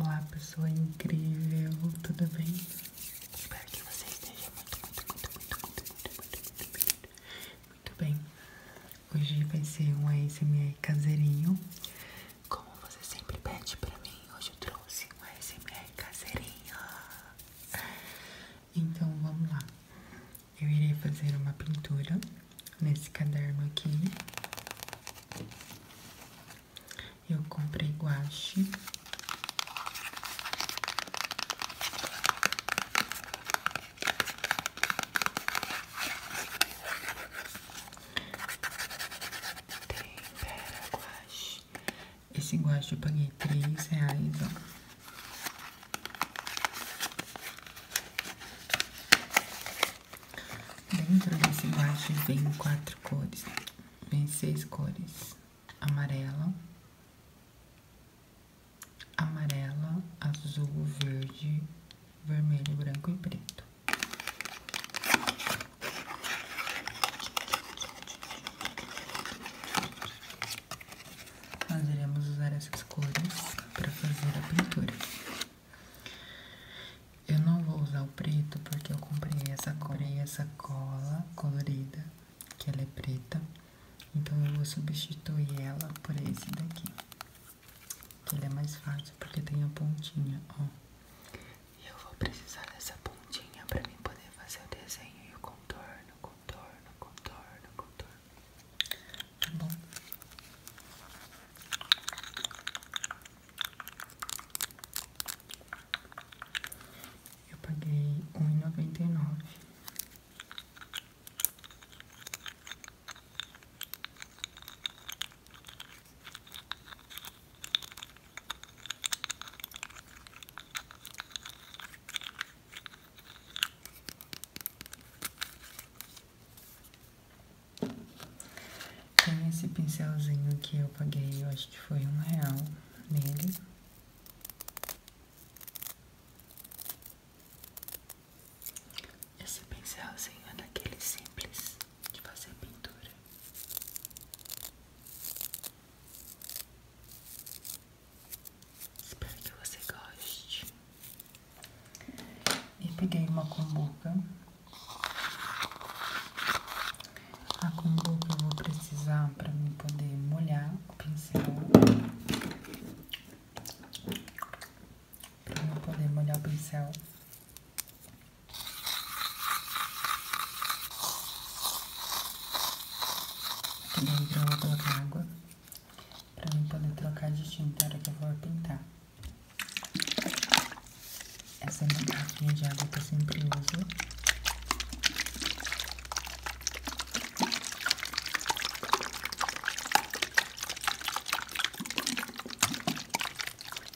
Olá, pessoa incrível, tudo bem? Espero que você esteja muito, muito, muito, muito, muito, bem. Hoje vai ser um ASMR caseirinho. Como você sempre pede pra mim, hoje eu trouxe um ASMR caseirinha. Então vamos lá. Eu irei fazer uma pintura nesse caderno aqui. Eu comprei guache. Tempera guache. Esse guache eu paguei 3 reais, Dentro desse guache vem quatro cores, vem seis cores. Amarela, amarela, azul, verde, vermelho, branco e preto. Nós iremos usar essas cores para fazer a pintura. Eu não vou usar o preto porque eu comprei essa, cor e essa cola colorida, que ela é preta. Então eu vou substituir ela por esse daqui. Que é mais fácil porque tem a pontinha, e eu vou precisar dessa pontinha para mim poder fazer o desenho e o contorno, contorno, contorno, contorno. Tá bom? Eu paguei R$1,99. Tem esse pincelzinho que eu paguei, eu acho que foi um real nele. Esse pincelzinho é daquele simples de fazer pintura. Espero que você goste. E peguei uma kombucha. A kombucha eu vou precisar para mim poder molhar o pincel para não poder molhar o pincel. Aqui dentro eu vou colocar água para eu poder trocar de tinta na hora que eu for pintar. Essa é uma de água que eu sempre uso.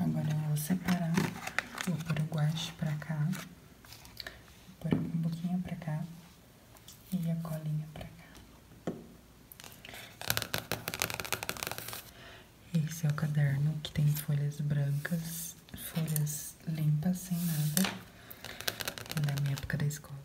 Agora eu vou separar, vou pôr o guache pra cá, vou pôr um pouquinho pra cá e a colinha pra cá. Esse é o caderno que tem folhas brancas, folhas limpas, sem nada, da minha época da escola.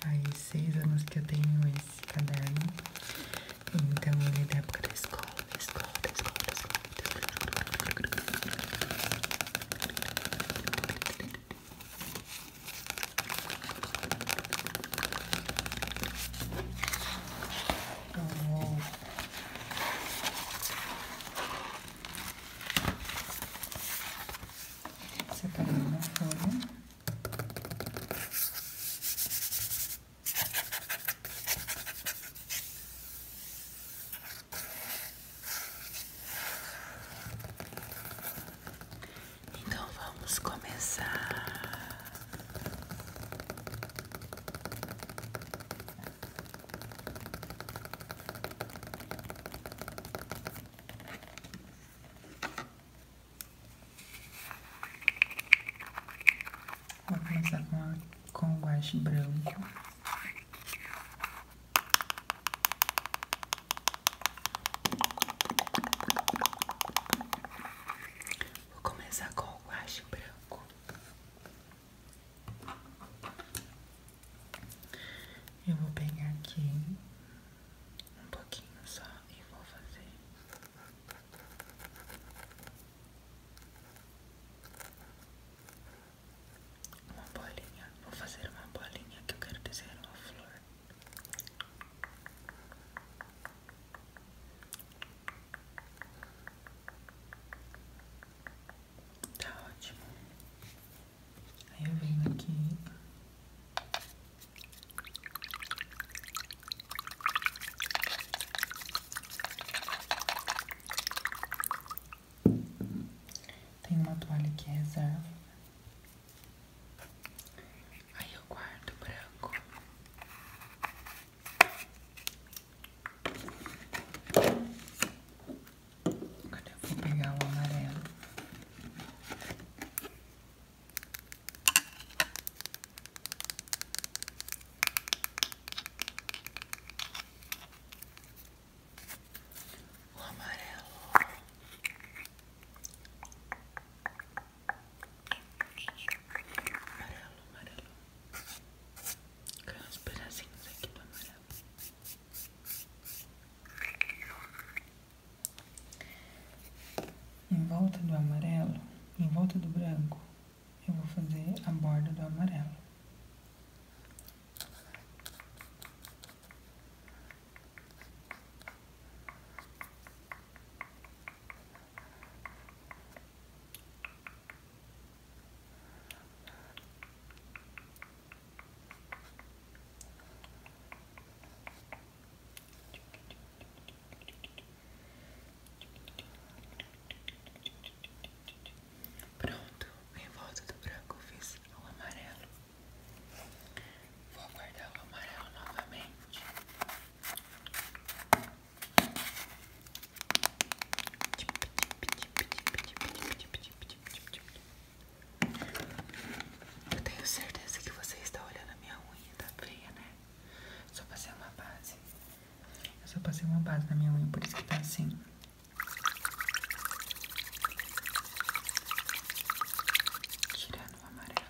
Faz seis anos que eu tenho esse caderno. Então ele é da época da escola, escola, escola, escola. Separando tá na folha. Então vamos começar. Vou começar com, com o guache branco. Vou começar com o guache branco. Eu vou pegar aqui um pouquinho só e vou fazer. Uma bolinha, vou fazer uma bolinha que eu quero desenhar uma flor. Tá ótimo. Aí eu venho aqui. Tem uma toalha que é reserva. Aí eu guardo branco. Agora eu vou pegar o amarelo. O amarelo. Amarelo, amarelo. Caiu uns pedacinhos aqui do amarelo. Em volta do amarelo, em volta do branco, eu vou fazer a borda do amarelo. Pronto, em volta do branco fiz o amarelo. Vou guardar o amarelo novamente. Eu tenho certeza que você está olhando a minha unha, tá feia, né? Só passei uma base. Eu só passei uma base na minha unha, por isso que está assim. Tirando o amarelo,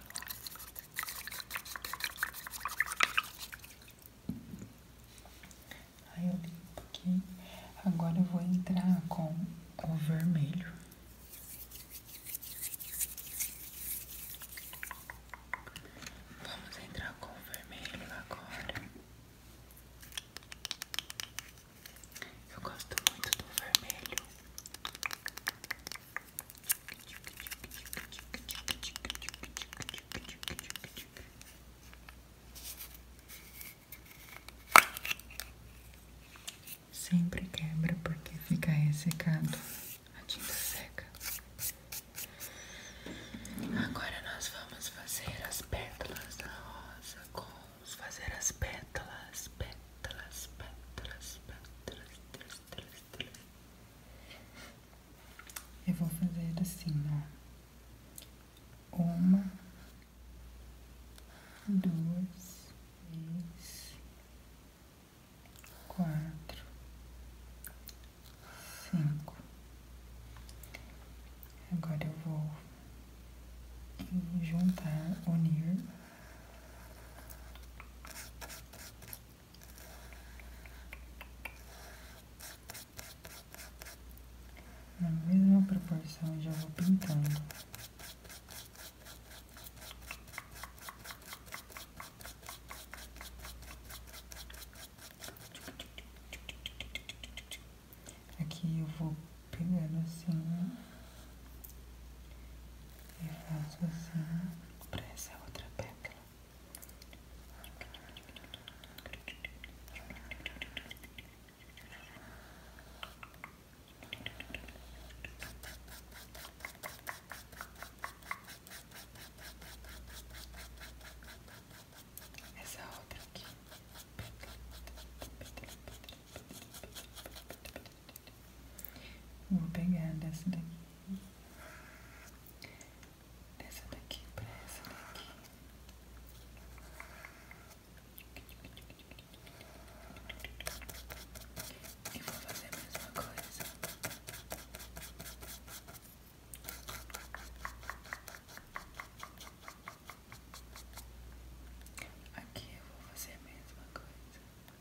Aí eu limpo aqui. Agora eu vou entrar com o vermelho. Vamos entrar com o vermelho agora. Eu gosto muito do vermelho. Sempre quebra porque fica ressecado, a tinta seca. Agora nós vamos fazer as pétalas da rosa com vamos fazer as pétalas, pétalas, pétalas, pétalas, pétalas, pétalas, pétalas, pétalas. Eu vou fazer assim, ó. Uma, duas, três, quatro, cinco. Agora eu vou juntar, unir na mesma proporção já vou pintando. Aqui eu vou pegando assim, né? e faço assim para essa outra pétala. Essa outra aqui. Vou pegar dessa daqui. Dessa daqui pra essa daqui. E vou fazer a mesma coisa. Aqui eu vou fazer a mesma coisa.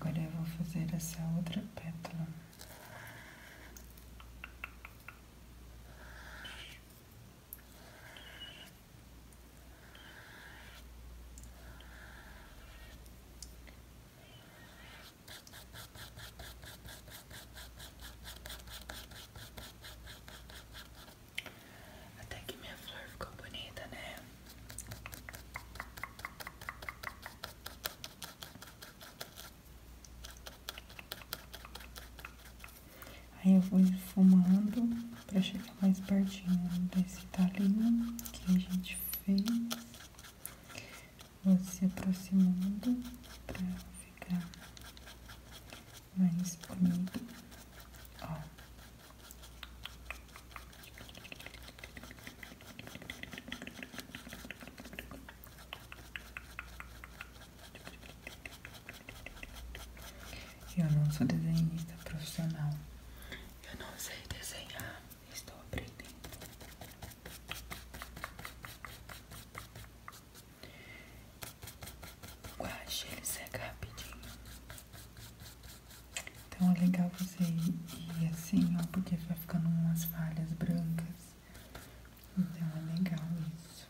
Agora eu vou fazer essa outra pétala. Até que minha flor ficou bonita, né? Aí eu vou esfumando pra chegar mais pertinho desse talinho que a gente fez. Vou se aproximando para ficar mais bonito. Eu não sou desenhista profissional. Eu não sei desenhar. Estou aprendendo. O guache ele seca rapidinho. Então é legal você ir assim, ó, porque vai ficando umas falhas brancas. Então é legal isso.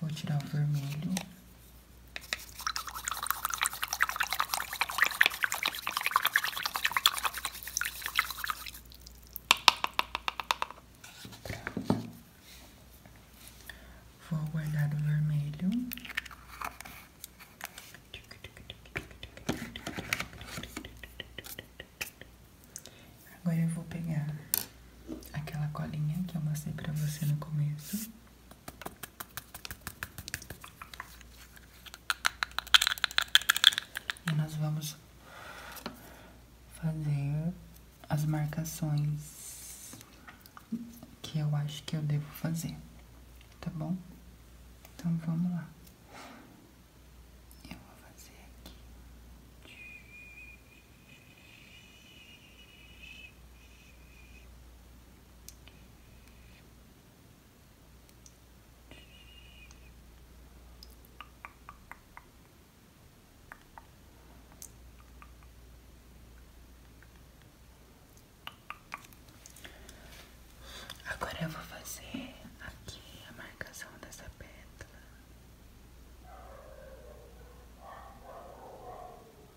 Vou tirar o vermelho Vou guardar o vermelho. Agora eu vou pegar aquela colinha que eu mostrei para você no começo. E nós vamos fazer as marcações que eu acho que eu devo fazer, tá bom? Então vamos lá. Eu vou fazer aqui. Agora eu vou fazer aqui a marcação dessa pétala.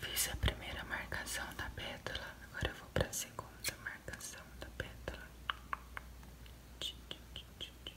Fiz a primeira marcação da pétala, agora eu vou para a segunda marcação da pétala. Tch, tch, tch, tch, tch.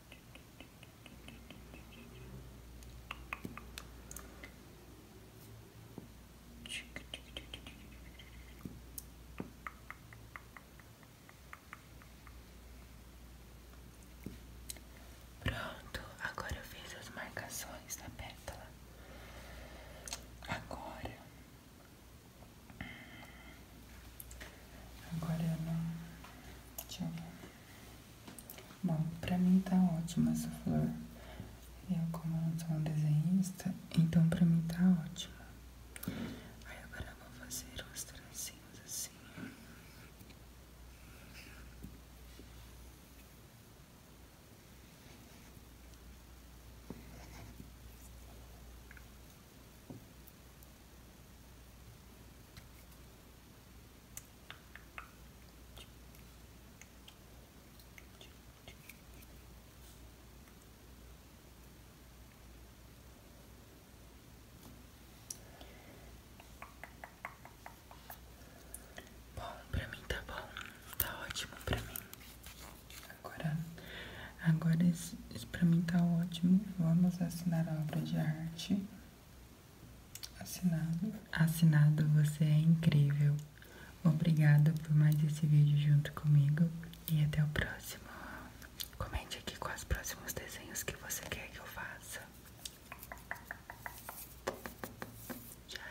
Pronto, agora eu fiz as marcações da pétala. Agora Agora eu não. Deixa eu ver. Bom, pra mim tá ótima essa flor. Eu, como não sou um desenhista, então pra mim tá ótima. Aí agora eu vou fazer uns tracinhos assim. Bom, pra mim tá bom, tá ótimo pra mim. Agora Agora, esse, esse pra mim tá ótimo. Vamos assinar a obra de arte. Assinado. Assinado, você é incrível. Obrigada por mais esse vídeo junto comigo. E até o próximo. Comente aqui quais os próximos desenhos que você quer que eu faça. Tchau.